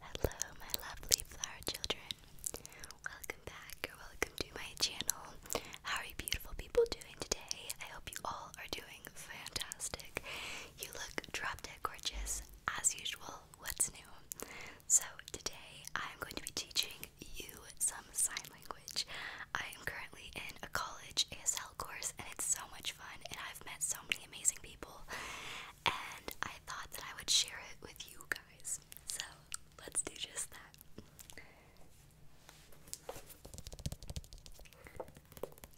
Hello, my lovely flower children. Welcome back or welcome to my channel. How are you, beautiful people, doing today? I hope you all are doing fantastic. You look drop dead gorgeous, as usual. What's new? So, today I'm going to be teaching you. Some sign language. I am currently in a college ASL course and it's so much fun and I've met so many amazing people and I thought that I would share it with you guys. So let's do just that.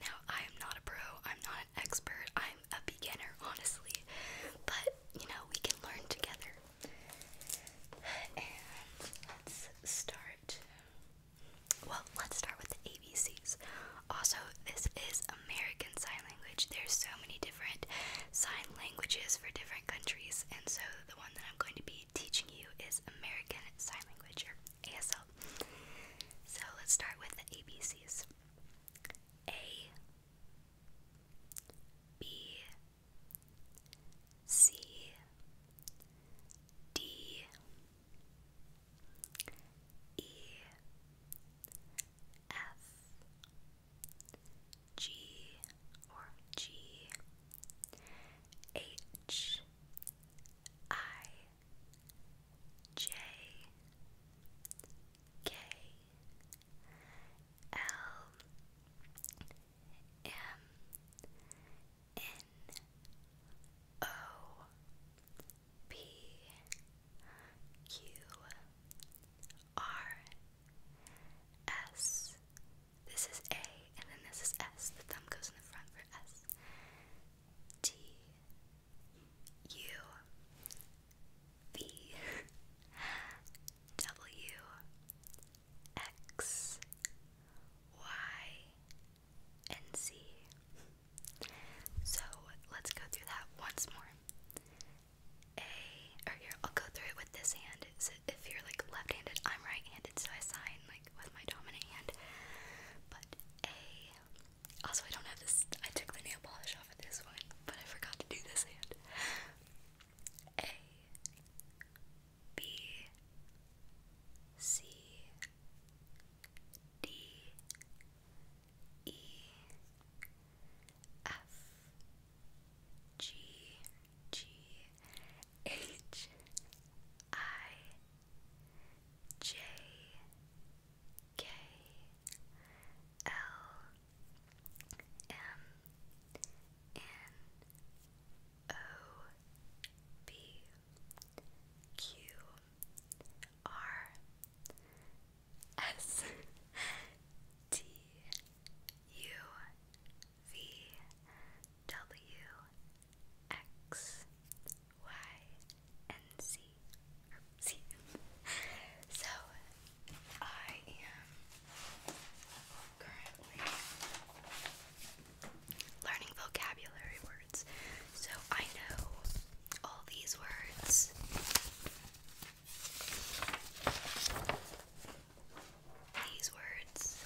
Now, I am not a pro, I'm not an expert, I'm a beginner, honestly, but you know, we can learn together. And let's start well, let's start with the ABCs. Also, this is American Sign Language. There's so many different sign languages for different countries, and so the one that I'm going to be teaching you is American Sign Language, or ASL. So let's start with the ABCs. A B C D E F G or G H I J K L M N O P Q R S. This is A, and then this is S. The thumb goes in the front for S. T U V W X Y, and Z. So let's go through that once more. A, or here, I'll go through it with this hand. if you're like left handed, I'm right handed, so I sign like with my dominant hand. But A, also, I don't have this, I took the nail polish off of this one, but I forgot to do this hand. A, B C D E F G G H I J K L M N O B Q R S T U V W X Y and Z. Or Z. so I am currently learning vocabulary words. So I know all these words. These words.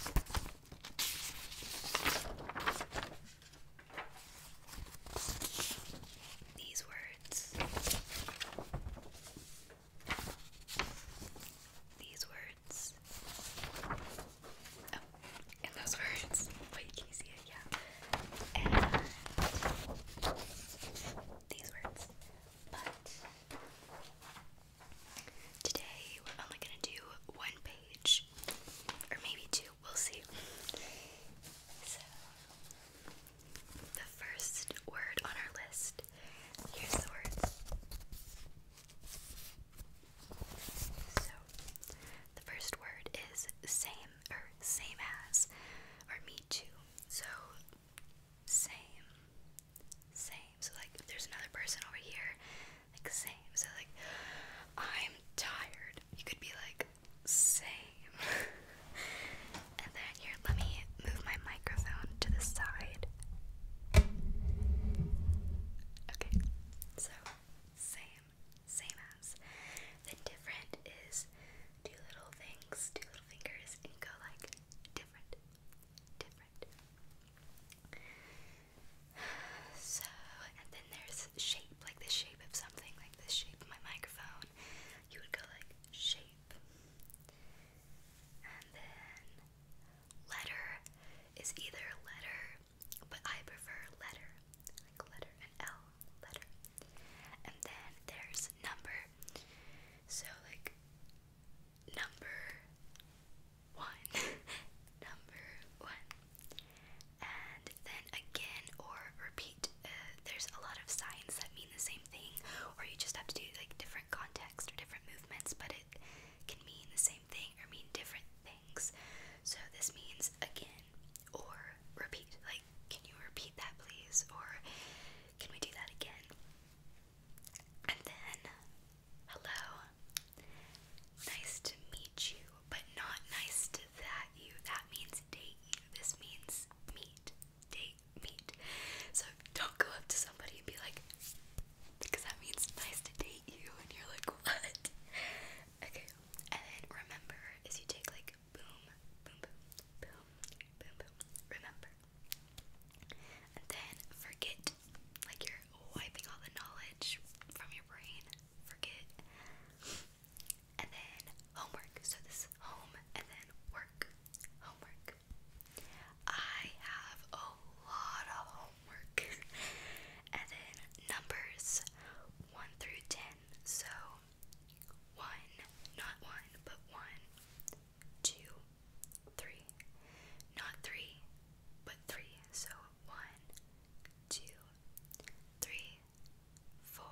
These words. These words. Oh, those words. Wait, can you see it? Yeah. these words. But today we're only gonna do one page, or maybe two. We'll see. So the first word on our list. Here's the words. So, the first word is same or same as or me too. So, same, same. So, like, there's another person over here, like, same. So, like, I'm tired. You could be like, same. and then here, let me move my microphone to the side. Okay, so same, same as. The different is two little things, two little fingers, and go like different, different. So, and then there's shape, like the shape of something, like the shape of my microphone. You would go like shape. And then letter is either letter, but I prefer letter, like letter and L, letter. And then there's number. So like number one, number one. And then again or repeat. Uh, there's a lot of signs that mean the same thing, or you just have to do like different context or different movements, but it can mean the same thing or mean different things. So this means again or repeat. Like, can you repeat that please? Or can we do that again? And then, hello. Nice to meet you, but not nice to that you. That means date This means meet. Date, meet. So don't go up to somebody and be like, because that means nice to date you, and you're like, what? Okay, and then remember is you take like boom, boom, boom, boom, boom, remember. And then forget, like you're wiping all the knowledge from your brain, forget. And then homework, so this home, and then work, homework. I have a lot of homework homework. and then numbers 1 through 10. So 1, not 1, but 1, 2, 3. Not 3, but 3. So 1, 4,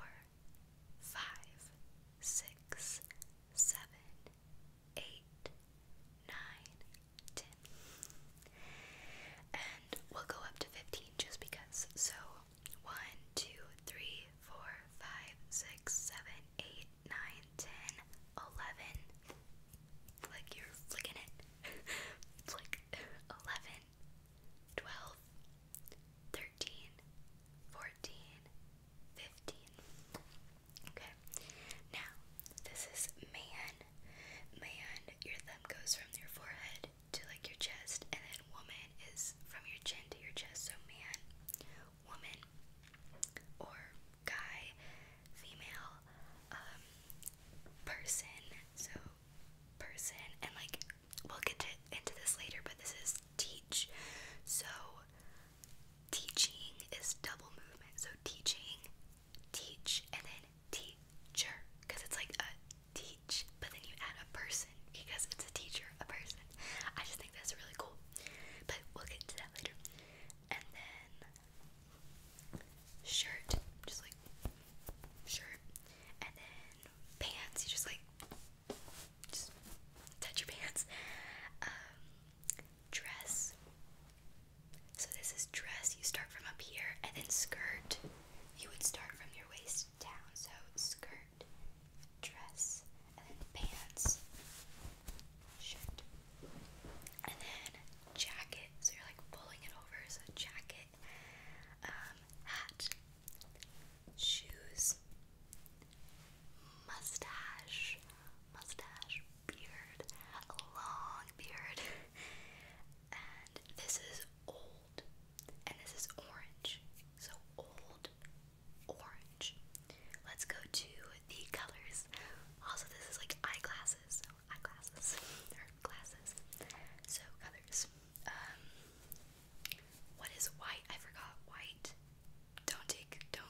5, 6, 7, eight, nine, ten. And we'll go up to fifteen just because. So one, two, three, four, five, six, seven, eight, nine, ten, eleven. Like you're flicking it. Flick eleven. 12, 13, 14, 15. Okay. Now, this is man. Man, your thumb goes from your forehead to like your chest, and then woman is from your chin to your chest. So man, woman, or guy, female, um, person. So person, and like we'll get into this later, but this is teach. So teaching is double movement. So teaching teach, and then teacher, because it's like a teach, but then you add a person because it's a teacher, a person. I just think that's really cool, but we'll get to that later. And then shirt, just like shirt, and then pants. You just like just touch your pants. Um, dress, so this is dress. You start from up here, and then skirt. You would start from your waist down. So skirt, dress, and then pants, shirt, and then jacket. So you're like pulling it over. So jacket, um, hat, shoes, mustache, mustache, beard, a long beard. and this is old, and this is orange. So old, orange. Let's go to the colors. Also, this is like eyeglasses. eyeglasses or glasses. So colors. Um, what is white? I forgot. White. Don't take. Don't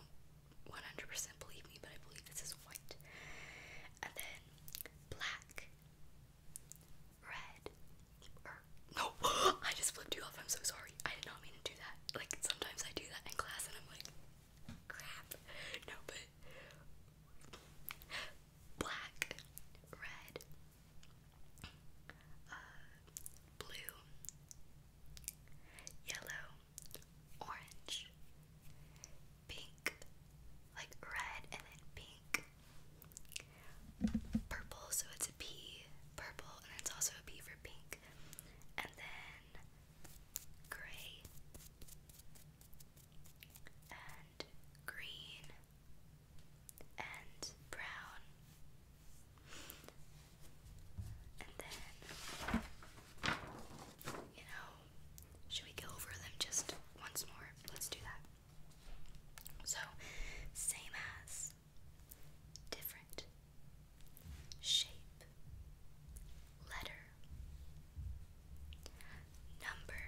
100% believe me, but I believe this is white. And then black, red, er, no, I just flipped you off. I'm so sorry. I did not mean to do that. Like sometimes I do that in class, and I'm like, crap. No, but black, red, uh, blue, yellow, orange, pink, like red and then pink, purple, so it's a P, purple, and it's also a P for pink, and then gray and green and brown and then you know should we go over them just once more? Let's do that. So, same as, different, shape, letter, number,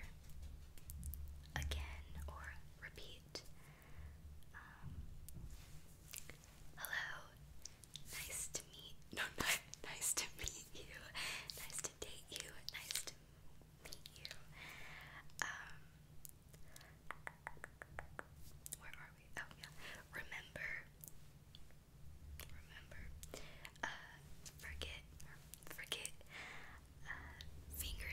again or repeat. Um, hello, Nice to meet no, no nice to meet you. Nice to date you. Nice to meet you. Um where are we? Oh yeah. Remember remember. Uh forget forget uh finger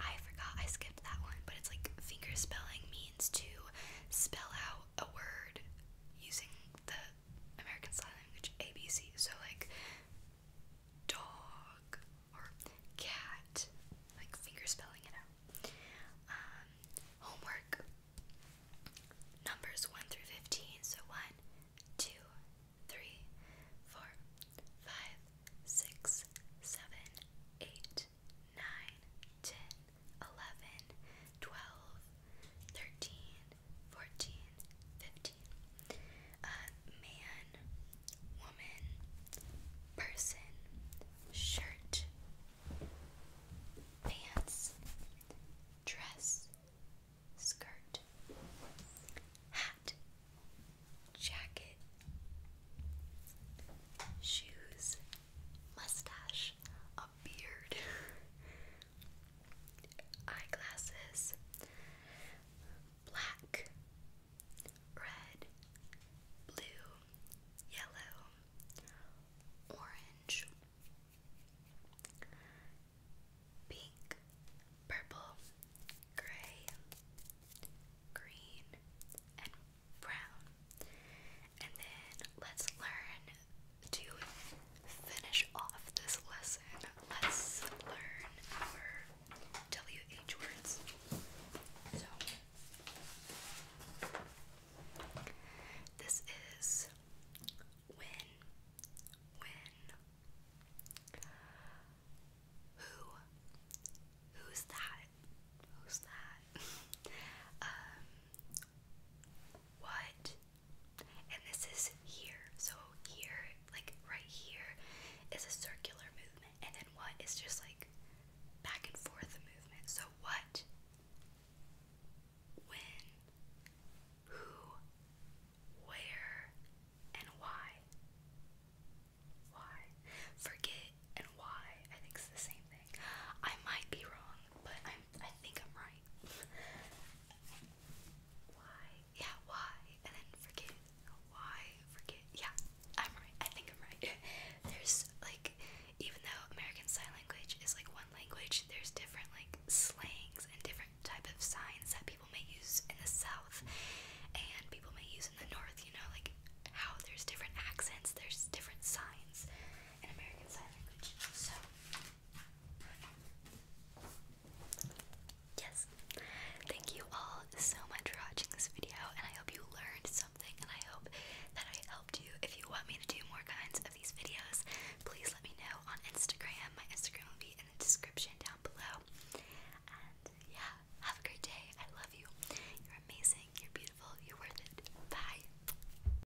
I forgot I skipped that one, but it's like finger means to spell out a word using the American Sign Language ABC. So like dog or cat, like finger spelling it out. Um, homework numbers one through fifteen. So one, two, three, four, five, six, seven, eight, nine, ten, 11, man, woman, person, shirt, pants, dress, skirt, hat, jacket, shoes, mustache, a beard, eyeglasses, black, red, blue, yellow, orange, pink, purple, gray, green, and brown. And then let's learn to finish off this lesson. Let's learn our WH words. So, this is win, win. Who? Who's that? Who's that? um, what? And this is here. So here, like right here, is a circular movement. And then what is just like back and forth movement. So what? When? Who? Where? And why? Why? Forget and why. I think it's the same I might be wrong, but i I think I'm right. why? Yeah, why? And then forget. Why? Forget. Yeah, I'm right. I think I'm right. there's like even though American Sign Language is like one language, there's different like slangs and different type of signs that people may use in the South and people may use in the North, you know, like how there's different accents, there's different signs in American Sign Language. So Yes. Thank you all so much for watching this video, and I hope you learned something, and I hope that I helped you. If you want me to do more kinds of these videos, please let me know on Instagram. My Instagram will be in the description down below. And yeah, have a great day. I love you. You're amazing. You're beautiful. You're worth it. Bye.